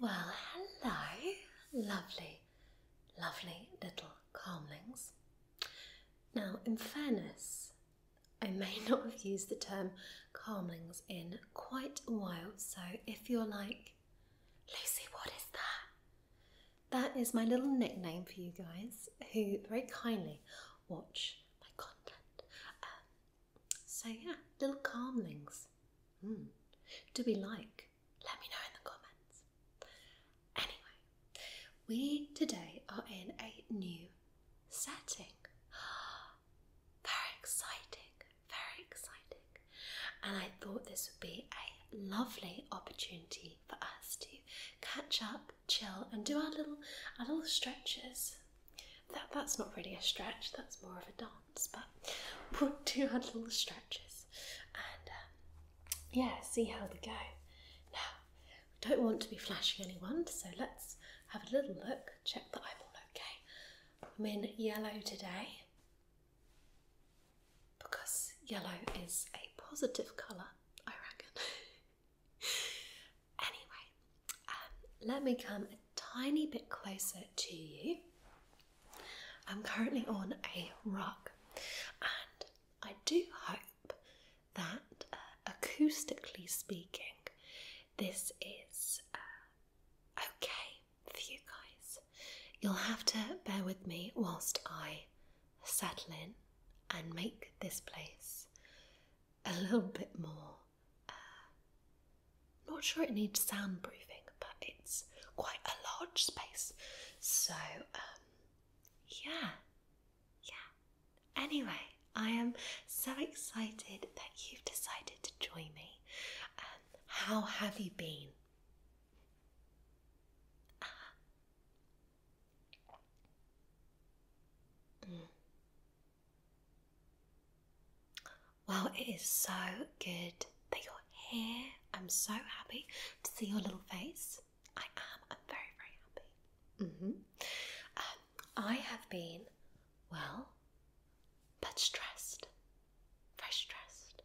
Well, hello, lovely, lovely little calmlings. Now, in fairness, I may not have used the term calmlings in quite a while, so if you're like, Lucy, what is that? That is my little nickname for you guys who very kindly watch my content. Um, so yeah, little calmlings. Mm. Do we like? Let me know in the comments. Anyway, we today are in a new setting. Very exciting, very exciting. And I thought this would be a lovely opportunity for us to catch up, chill, and do our little our little stretches that that's not really a stretch, that's more of a dance, but we'll do a little stretches and um, yeah, see how they go. Now, we don't want to be flashing anyone, so let's have a little look, check that I'm all okay. I'm in yellow today because yellow is a positive colour, I reckon. anyway, um, let me come tiny bit closer to you. I'm currently on a rug, and I do hope that uh, acoustically speaking, this is uh, okay for you guys. You'll have to bear with me whilst I settle in and make this place a little bit more uh, not sure it needs soundproofing, but it's quite a large space. So, um, yeah, yeah. Anyway, I am so excited that you've decided to join me. Um, how have you been? Uh, mm. Well, it is so good that you're here. I'm so happy to see your little face. I am. I'm very, very happy. Mm-hmm. Um, I have been well, but stressed. Very stressed.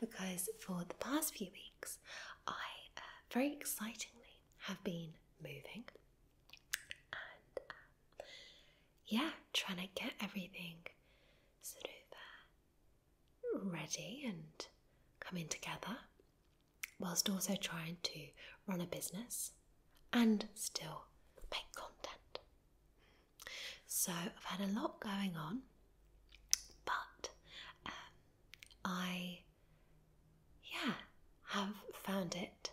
because for the past few weeks, I uh, very excitingly have been moving. Um, yeah, trying to get everything sort of ready and coming together, whilst also trying to run a business and still make content. So I've had a lot going on, but um, I, yeah, have found it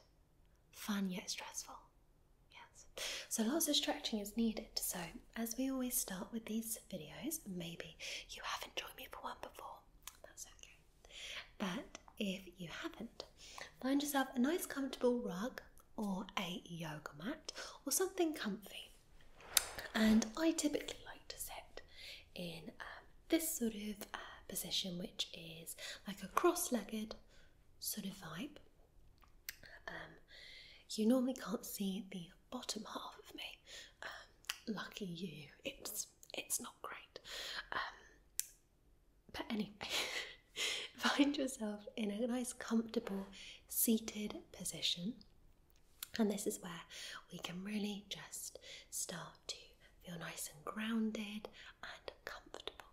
fun yet stressful. Yes. So lots of stretching is needed. So as we always start with these videos, maybe you haven't joined me for one before. That's okay. But if you haven't, find yourself a nice comfortable rug or a yoga mat or something comfy. And I typically like to sit in um, this sort of uh, position, which is like a cross legged sort of vibe. Um, you normally can't see the bottom half of me. Um, lucky you. It's it's not great. Um, but anyway, find yourself in a nice, comfortable, seated position. And this is where we can really just start to feel nice and grounded and comfortable.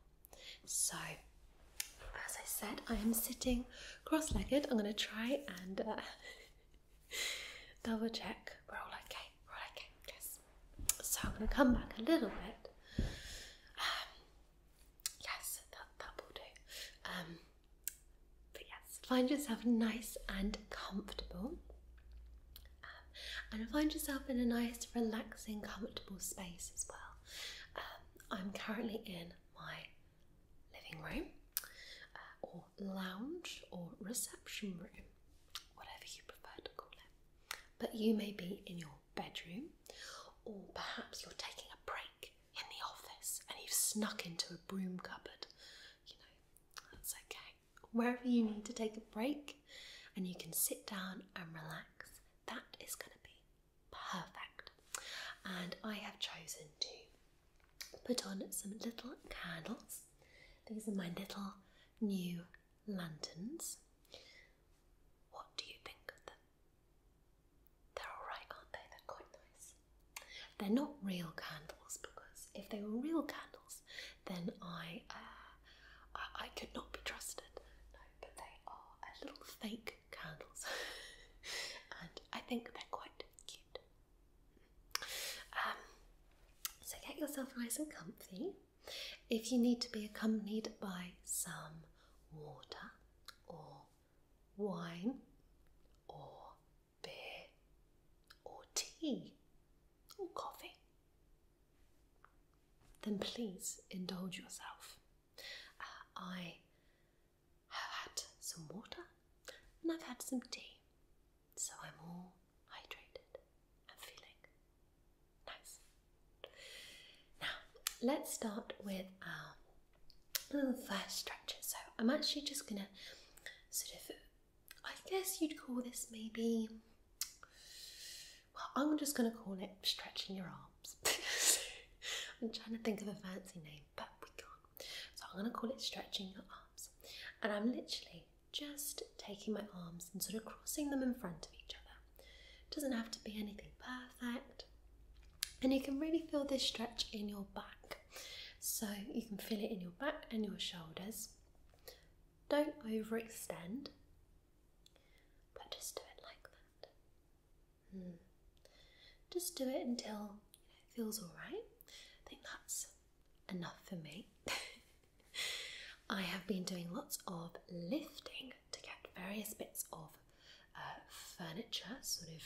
So, as I said, I am sitting cross legged. I'm going to try and uh, double check. We're all okay. We're all okay. Yes. So, I'm going to come back a little bit. Um, yes, that, that will do. Um, but yes, find yourself nice and comfortable um, and find yourself in a nice, relaxing, comfortable space as well. Um, I'm currently in my living room uh, or lounge or reception room, whatever you prefer to call it. But you may be in your bedroom, or perhaps you're taking a break in the office and you've snuck into a broom cupboard. You know, that's okay. Wherever you need to take a break, and you can sit down and relax that is going to be perfect. And I have chosen to put on some little candles. These are my little new lanterns. What do you think of them? They're alright, aren't they? They're quite nice. They're not real candles because if they were real candles, then I, uh, I, could not be trusted but they are a little fake candles, and I think they're quite cute. Um, so get yourself nice and comfy. If you need to be accompanied by some water or wine or beer or tea or coffee then please indulge yourself. Uh, I have had some water and I've had some tea, so I'm all hydrated and feeling nice. Now, let's start with our um, little first stretches. So, I'm actually just gonna sort of, I guess you'd call this maybe well, I'm just going to call it stretching your arms. I'm trying to think of a fancy name, but we can't. So I'm going to call it stretching your arms. And I'm literally just taking my arms and sort of crossing them in front of each other. It doesn't have to be anything perfect. And you can really feel this stretch in your back. So you can feel it in your back and your shoulders. Don't overextend. But just do it like that. Hmm. Just do it until it feels alright. I think that's enough for me. I have been doing lots of lifting to get various bits of uh, furniture sort of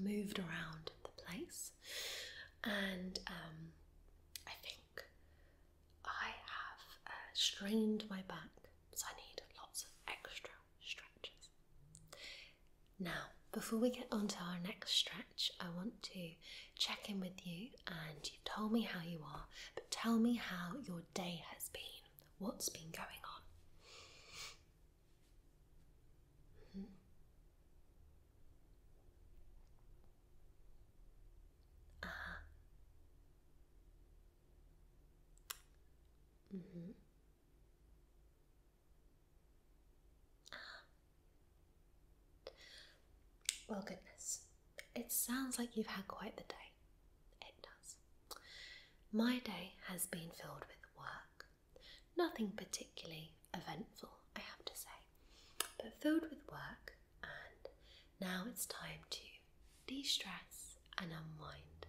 moved around the place, and um, I think I have uh, strained my back, so I need lots of extra stretches. Now, before we get on to our next stretch, I want to check in with you and you've told me how you are, but tell me how your day has been. What's been going on? Mm well, mm-hmm. oh, goodness, it sounds like you've had quite the day. It does. My day has been filled with work. Nothing particularly eventful, I have to say, but filled with work and now it's time to de stress and unwind.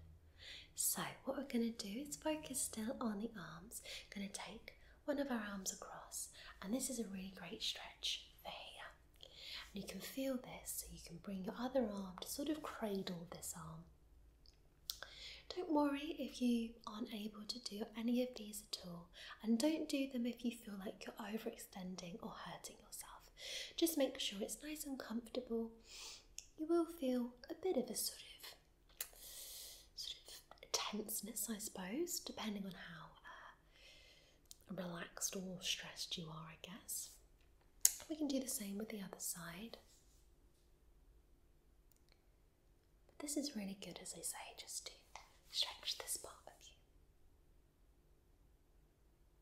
So, what we're going to do is focus still on the arms. going to take one of our arms across, and this is a really great stretch for here. you can feel this, so you can bring your other arm to sort of cradle this arm. Don't worry if you aren't able to do any of these at all, and don't do them if you feel like you're overextending or hurting yourself. Just make sure it's nice and comfortable. You will feel a bit of a sort of sort of tenseness, I suppose, depending on how uh, relaxed or stressed you are, I guess. We can do the same with the other side. this is really good, as I say, just to stretch this part of you.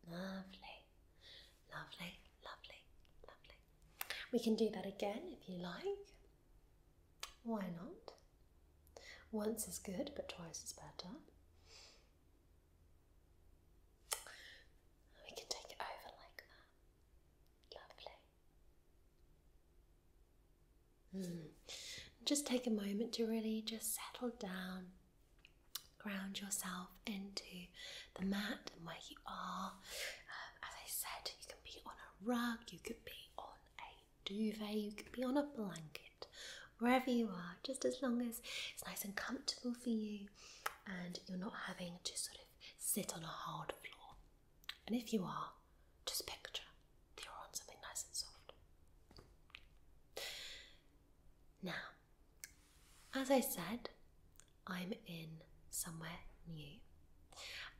Lovely, lovely, lovely, lovely. We can do that again if you like. Why not? Once is good, but twice is better. We can take it over like that. Lovely. Hmm. Just take a moment to really just settle down ground yourself into the mat and where you are. Um, as I said, you can be on a rug, you could be on a duvet, you could be on a blanket, wherever you are, just as long as it's nice and comfortable for you and you're not having to sort of sit on a hard floor. And if you are, just picture that you're on something nice and soft. Now, as I said, I'm in somewhere new,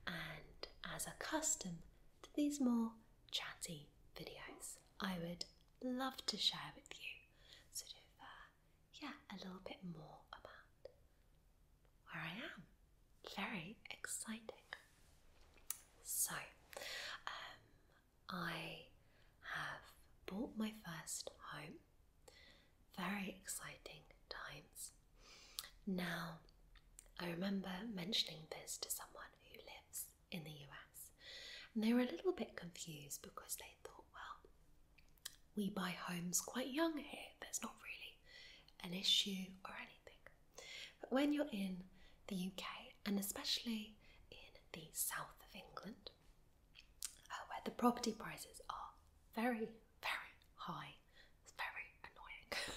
and as a custom to these more chatty videos, I would love to share with you sort of, uh, yeah, a little bit more about where I am. Very exciting. So, um, I have bought my first home. Very exciting times. Now, I remember mentioning this to someone who lives in the US, and they were a little bit confused because they thought, well, we buy homes quite young here, there's not really an issue or anything. But when you're in the UK, and especially in the south of England, uh, where the property prices are very, very high. It's very annoying.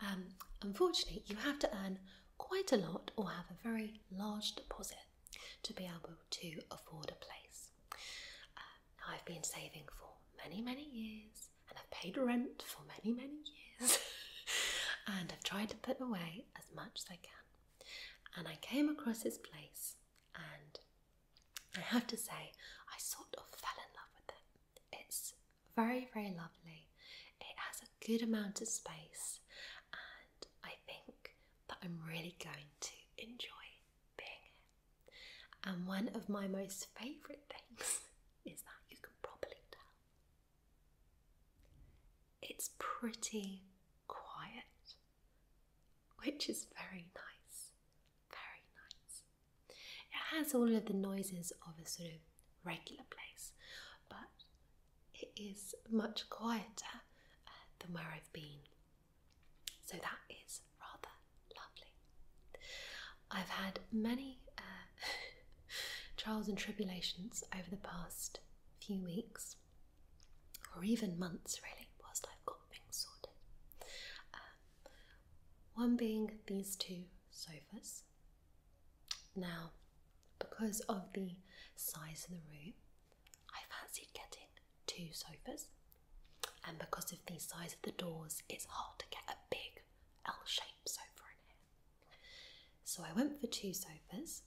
Um, unfortunately, you have to earn quite a lot or have a very large deposit to be able to afford a place. Uh, I've been saving for many, many years and I've paid rent for many, many years and I've tried to put away as much as I can and I came across this place, and I have to say, I sort of fell in love with it. It's very, very lovely. It has a good amount of space, and I think that I'm really going to enjoy being here. And one of my most favourite things is that you can probably tell it's pretty quiet, which is very nice. Very nice. It has all of the noises of a sort of regular place, but it is much quieter uh, than where I've been. So that is rather lovely. I've had many uh, trials and tribulations over the past few weeks or even months, really, whilst I've got things sorted. Um, one being these two sofas. Now, because of the size of the room, I fancied getting two sofas, and because of the size of the doors, it's hard to get a big L shaped sofa in here. So I went for two sofas.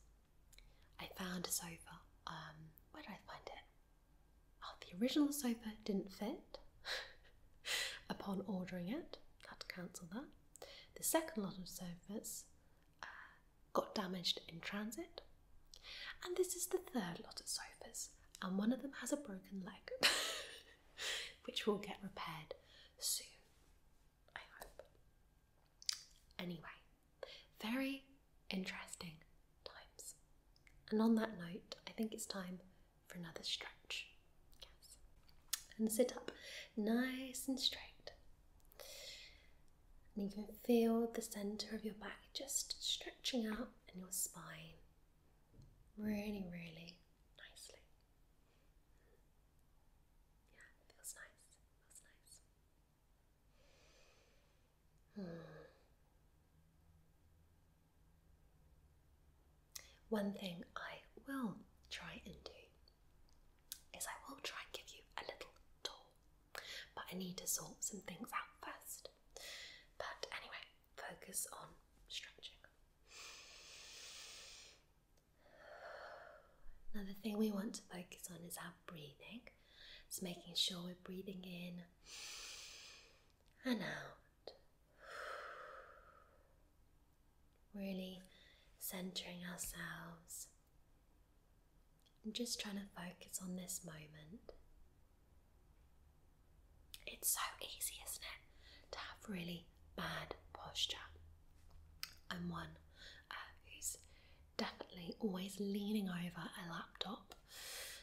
I found a sofa. Um, where did I find it? Oh, the original sofa didn't fit upon ordering it. Had to cancel that. The second lot of sofas uh, got damaged in transit. And this is the third lot of sofas, and one of them has a broken leg, which will get repaired soon, I hope. Anyway, very interesting times. And on that note, I think it's time for another stretch. Yes. And sit up nice and straight. And you can feel the center of your back just stretching out in your spine really, really nicely. Yeah, feels nice. feels nice. Hmm. One thing I will try and do is I will try and give you a little tour, but I need to sort some things out first. But anyway, focus on stretching. Another thing we want to focus on is our breathing. It's making sure we're breathing in and out. Really centering ourselves. I'm just trying to focus on this moment. It's so easy, isn't it, to have really bad posture. And one who's uh, definitely always leaning over a laptop.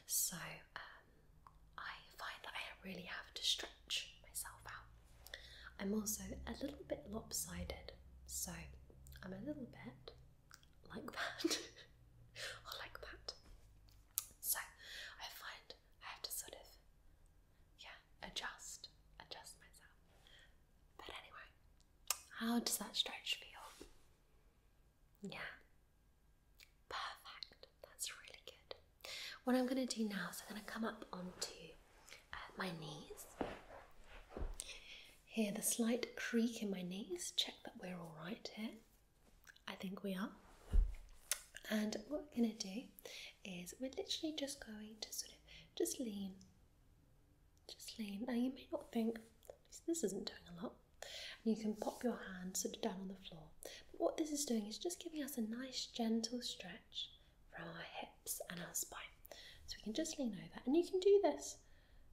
So um, I find that I really have to stretch myself out. I'm also a little bit lopsided, so I'm a little bit like that or like that. So I find I have to sort of yeah adjust adjust myself. But anyway, how does that stretch feel? Yeah. Perfect. That's really good. What I'm going to do now is I'm going to come up onto uh, my knees. Hear the slight creak in my knees. Check that we're all right here. I think we are. And what we're going to do is we're literally just going to sort of just lean just lean. Now you may not think this isn't doing a lot. And you can pop your hands sort of down on the floor. But what this is doing is just giving us a nice gentle stretch from our hips and our spine. So we can just lean over. And you can do this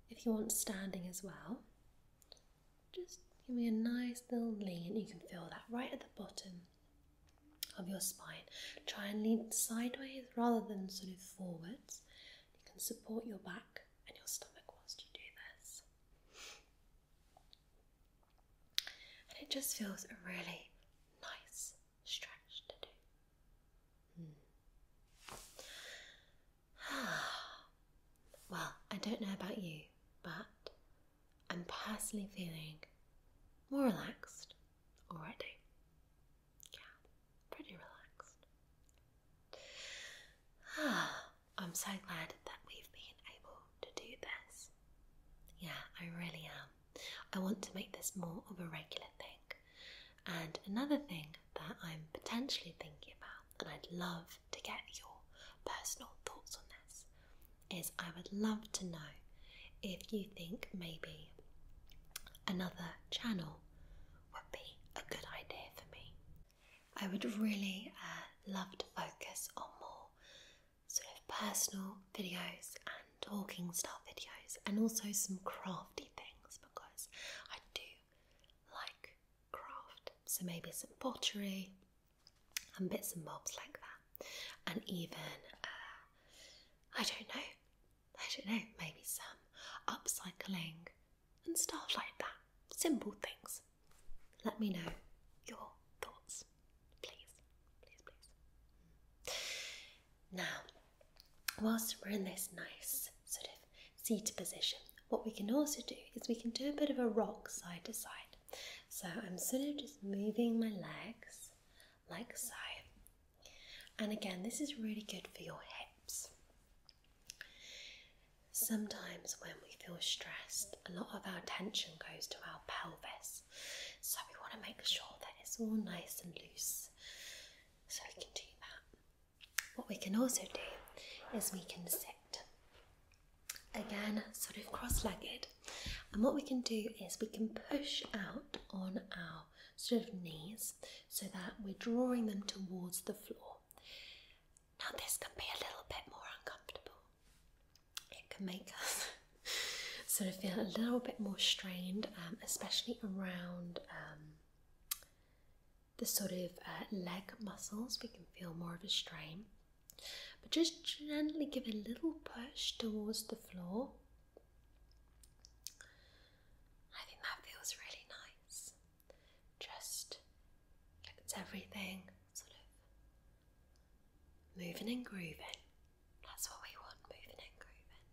if you want standing as well. Just give me a nice little lean. You can feel that right at the bottom of your spine. Try and lean sideways rather than sort of forwards. You can support your back and your stomach whilst you do this. And it just feels a really nice stretch to do. Hmm. well, I don't know about you, but I'm personally feeling more relaxed already yeah, pretty relaxed. I'm so glad that we've been able to do this. Yeah, I really am. I want to make this more of a regular thing. And another thing that I'm potentially thinking about, and I'd love to get your personal thoughts on this, is I would love to know if you think maybe another channel would be a good idea for me. I would really uh, love to focus on more sort of personal videos and talking stuff videos and also some crafty things because I do like craft. So maybe some pottery and bits and bobs like that. And even, uh, I don't know, I don't know, maybe some upcycling and stuff like that. Simple things. Let me know your thoughts, please, please, please. Hmm. Now, whilst we're in this nice sort of seated position, what we can also do is we can do a bit of a rock side to side. So I'm sort of just moving my legs like so. And again, this is really good for your hips. Sometimes when we feel stressed, a lot of our tension goes to our pelvis. So we want to make sure that it's all nice and loose. So we can do that. What we can also do is we can sit. Again, sort of cross legged. And what we can do is we can push out on our sort of knees so that we're drawing them towards the floor. Now, this can be a little bit more uncomfortable. It can make us sort of feel a little bit more strained, um, especially around um, the sort of uh, leg muscles. We can feel more of a strain. But just gently give a little push towards the floor I think that feels really nice. Just it's everything sort of moving and grooving. That's what we want, moving and grooving.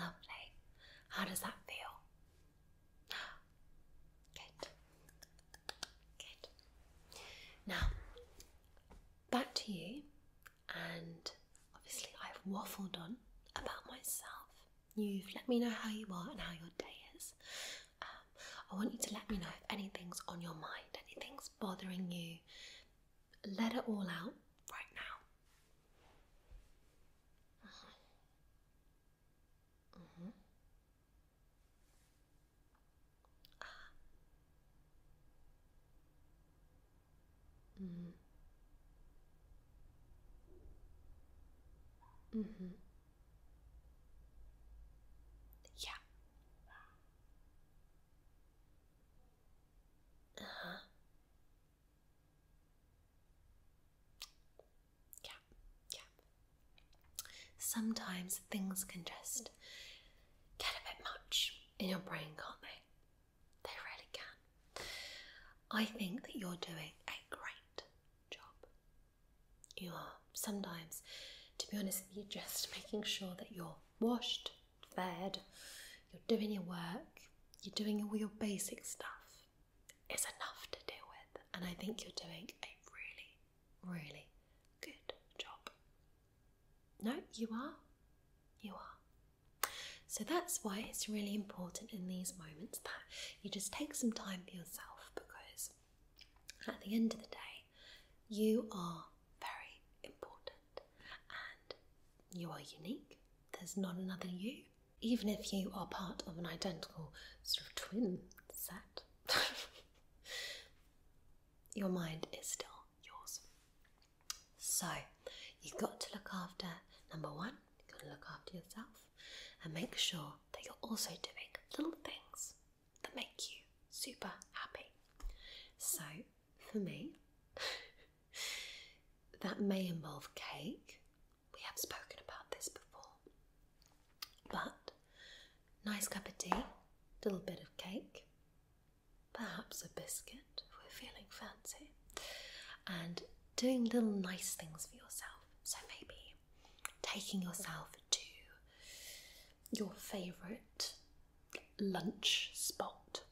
Lovely. How does that feel? Good. Good. Now, back to you and obviously I've waffled on about myself. You've let me know how you are and how your day is. Um, I want you to let me know if anything's on your mind, anything's bothering you. Let it all out right now. Mm-hmm. Mm-hmm hmm Mm-hmm. Yeah. Uh-huh. Yeah, yeah. Sometimes things can just get a bit much in your brain, can't they? They really can. I think that you're doing a great job. You are. Sometimes, to be honest you're just making sure that you're washed, fed, you're doing your work, you're doing all your basic stuff It's enough to deal with. And I think you're doing a really, really good job. No, you are. You are. So that's why it's really important in these moments that you just take some time for yourself because at the end of the day, you are very important and you are unique. There's not another you. Even if you are part of an identical sort of twin set, your mind is still yours. So you've got to look after number one, you've got to look after yourself and make sure that you're also doing little things that make you super happy. So for me, that may involve cake. We have spoken about this before. But nice cup of tea, little bit of cake, perhaps a biscuit if we're feeling fancy, and doing little nice things for yourself. So maybe taking yourself to your favourite lunch spot,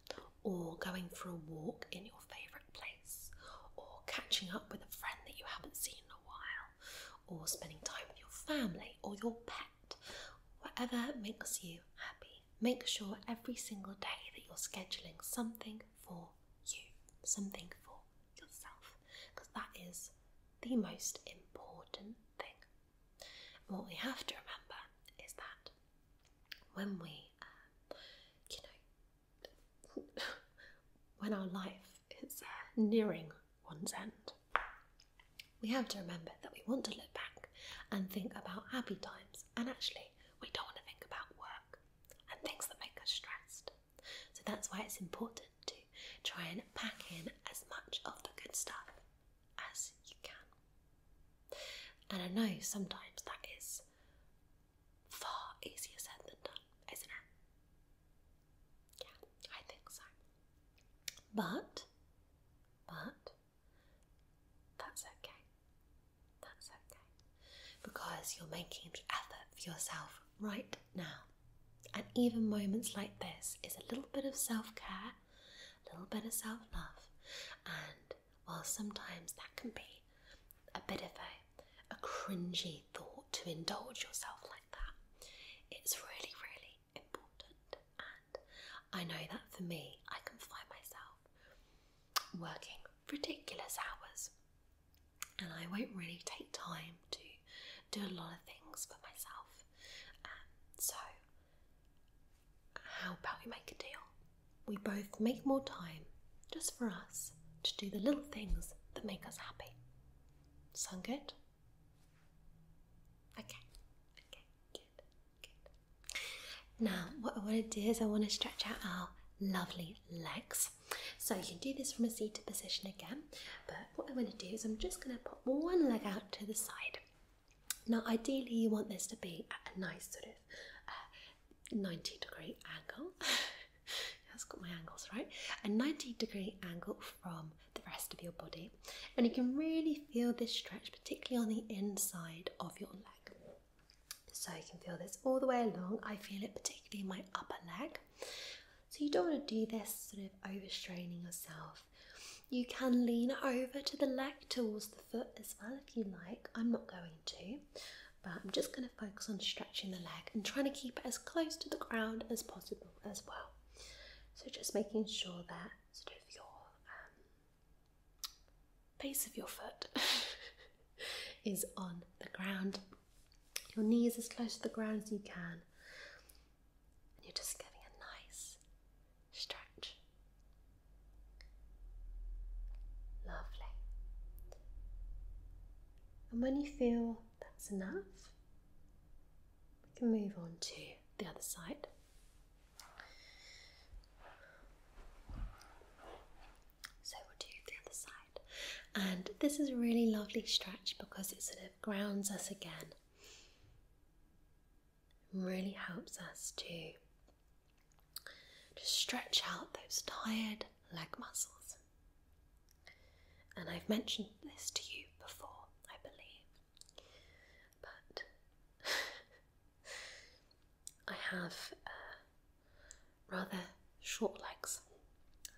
or going for a walk in your favourite place, or catching up with a friend that you haven't seen in a while, or spending time with your family or your pet, whatever makes you happy make sure every single day that you're scheduling something for you, something for yourself, because that is the most important thing. And what we have to remember is that when we, um, you know, when our life is uh, nearing one's end, we have to remember that we want to look back and think about happy times. And actually, we don't want to think about work and things that make us stressed. So that's why it's important to try and pack in as much of the good stuff as you can. And I know sometimes that is far easier said than done, isn't it? Yeah, I think so. But, but, that's okay. That's okay. Because you're making effort for yourself right now. And even moments like this is a little bit of self care, a little bit of self love. And while sometimes that can be a bit of a, a cringy thought to indulge yourself like that, it's really, really important I know that for me, I can find myself working ridiculous hours and I won't really take time to do a lot of things for myself. Um, so, how about we make a deal? We both make more time just for us to do the little things that make us happy. Sound good? Okay, okay. Now, what I want to do is I want to stretch out our lovely legs. So you can do this from a seated position again, but what i want to do is I'm just going to pop one leg out to the side. Now, ideally, you want this to be a nice sort of uh, 90 degree angle. That's got my angles right. A 90 degree angle from the rest of your body and you can really feel this stretch, particularly on the inside of your leg. So you can feel this all the way along. I feel it particularly in my upper leg. So you don't want to do this sort of overstraining yourself. You can lean over to the leg towards the foot as well if you like. I'm not going to, but I'm just going to focus on stretching the leg and trying to keep it as close to the ground as possible as well. So just making sure that sort of your um, base of your foot is on the ground. Your knee is as close to the ground as you can. And you're just getting a nice stretch. Lovely. And when you feel that's enough, we can move on to the other side. So we'll do the other side. And this is a really lovely stretch because it sort of grounds us again. really helps us to stretch out those tired leg muscles. And I've mentioned this to you before, I believe. But I have uh, rather short legs.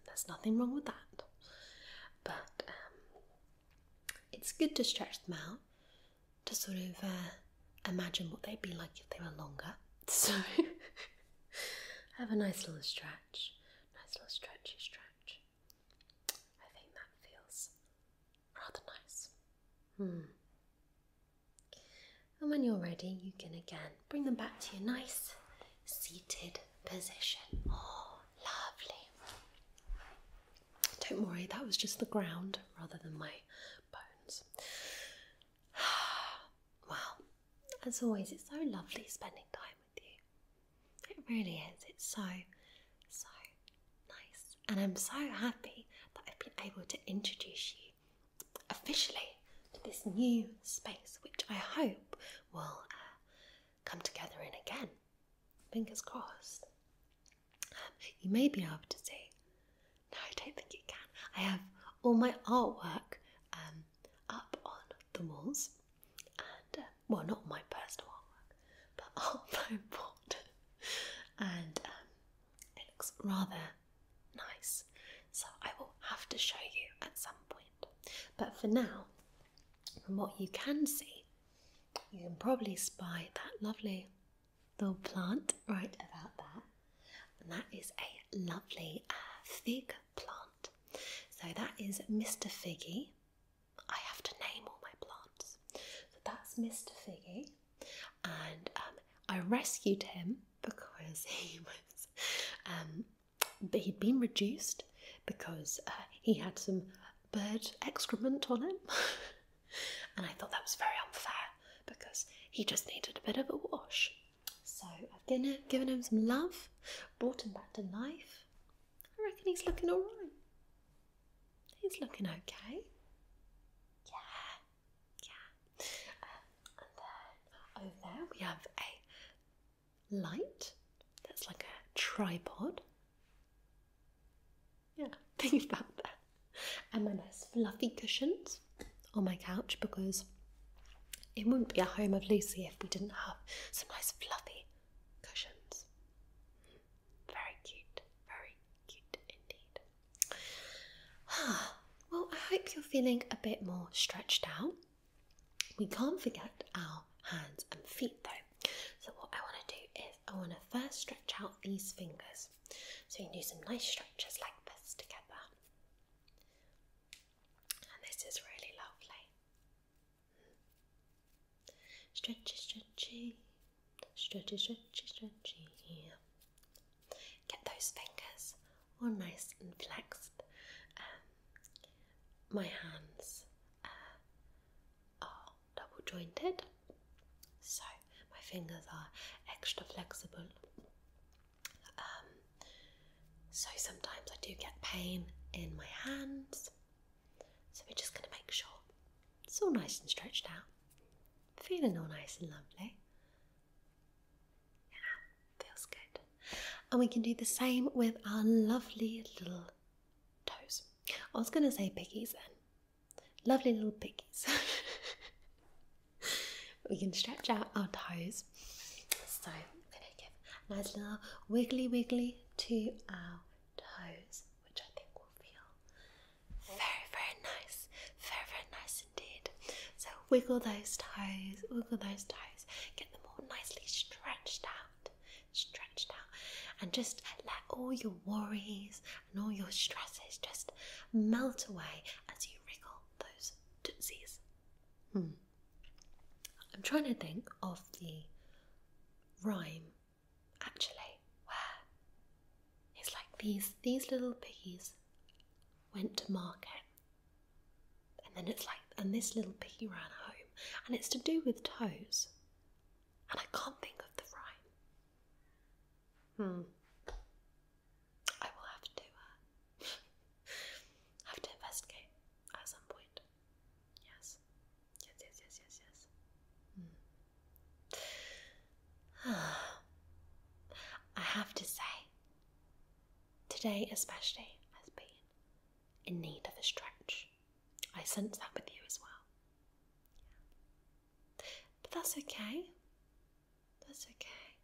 There's nothing wrong with that. But um, it's good to stretch them out to sort of uh, imagine what they'd be like if they were longer. So have a nice little stretch, nice little stretchy stretch. I think that feels rather nice. Hmm. And when you're ready, you can again bring them back to your nice seated position. Oh, lovely. Don't worry, that was just the ground rather than my bones. Well, as always, it's so lovely spending time with you. It really is. It's so, so Nice. And I'm so happy that I've been able to introduce you officially to this new space, which I hope will uh, come together in again. Fingers crossed. Um, you may be able to see. No, I don't think you can. I have all my artwork um, up on the walls, and uh, well, not my personal artwork but although bought, and um, it looks rather nice. So I will have to show you at some point. But for now, from what you can see, you can probably spy that lovely little plant right about that, and that is a lovely uh, fig plant. So that is Mr. Figgy. I have to name all my plants. So that's Mr. Figgy, and um, I rescued him because he was, um, he'd been reduced because uh, he had some bird excrement on him, and I thought that was very unfair because he just needed a bit of a wash. So I've given, given him some love, brought him back to life. I reckon he's looking alright. He's looking okay. Yeah, yeah. Uh, and then over there we have a light that's like a tripod. Yeah, think about that. And my nice fluffy cushions on my couch because it wouldn't be a home of Lucy if we didn't have some nice fluffy cushions. Very cute, very cute indeed. Ah, well, I hope you're feeling a bit more stretched out. We can't forget our hands and feet though. So, what I want to do is I want to first stretch out these fingers. So, you do some nice stretches like this together. And this is really lovely. Hmm. Stretchy, stretchy, Stretchy, stretchy, stretchy. Get those fingers all nice and flexed. Um, my hands uh, are double jointed, so my fingers are extra flexible. Um, so sometimes I do get pain in my hands, so we're just going to make sure it's all nice and stretched out, feeling all nice and lovely. Yeah, feels good. And we can do the same with our lovely little toes. I was going to say piggies then. Lovely little piggies. we can stretch out our toes. So we're going to give a nice little wiggly wiggly to our toes, which I think will feel very, very nice. Very, very nice indeed. So wiggle those toes, wiggle those toes, get them all nicely stretched out, stretched out, and just let all your worries and all your stresses just melt away as you wiggle those tootsies. Hmm. I'm trying to think of the rhyme Actually, where? It's like these these little piggies went to market. And then it's like and this little piggy ran home. And it's to do with toes. And I can't think of the rhyme. Hmm. I will have to uh, have to investigate at some point. Yes. Yes, yes, yes, yes, yes. Mm. I have to say, today especially has been in need of a stretch. I sense that with you as well. But that's okay. That's okay.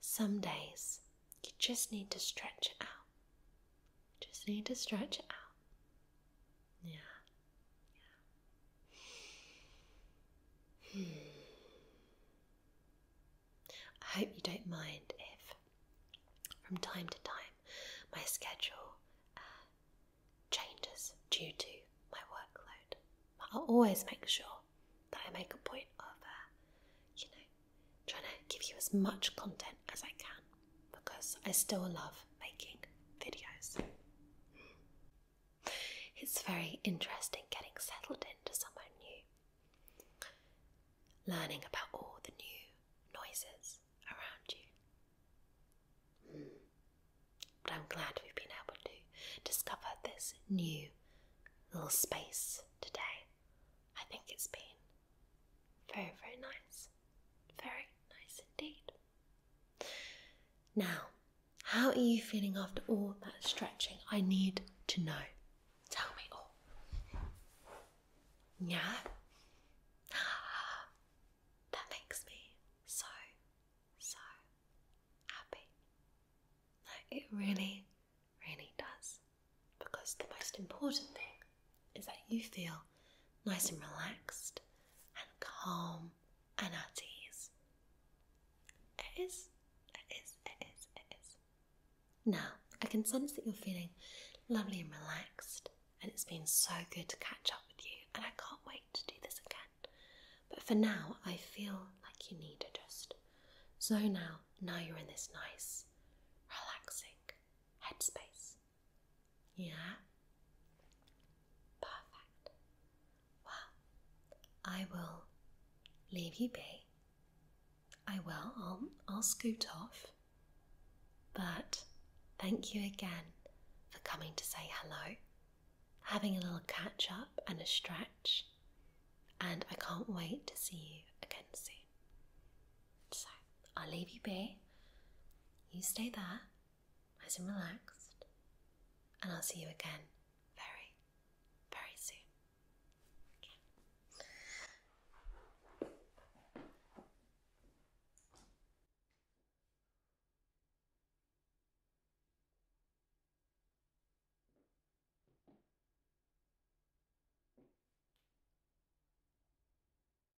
Some days you just need to stretch out just need to stretch out. Yeah. Yeah. Hmm. I hope you don't mind if, from time to time, my schedule uh, changes due to my workload. But I'll always make sure that I make a point of, uh, you know, trying to give you as much content as I can because I still love making videos. It's very interesting getting settled into somewhere new, learning about all the new noises around you. But I'm glad we've been able to discover this new little space today. I think it's been very, very nice. Very nice indeed. Now, how are you feeling after all that stretching? I need to know. Tell me all. Yeah? That makes me so, so happy. it really, really does. Because the most important thing is that you feel nice and relaxed and calm and at ease. It is, it is, it is, it is. Now, I can sense that you're feeling lovely and relaxed, and it's been so good to catch up with you, and I can't wait to do this again. But for now, I feel like you need to just zone out now you're in this nice, relaxing headspace. Yeah? Perfect. Well, I will leave you be. I will. I'll, I'll scoot off. But thank you again for coming to say hello, having a little catch up and a stretch. And I can't wait to see you again soon. So I'll leave you be. You stay there nice and relaxed, and I'll see you again very, very soon. Okay.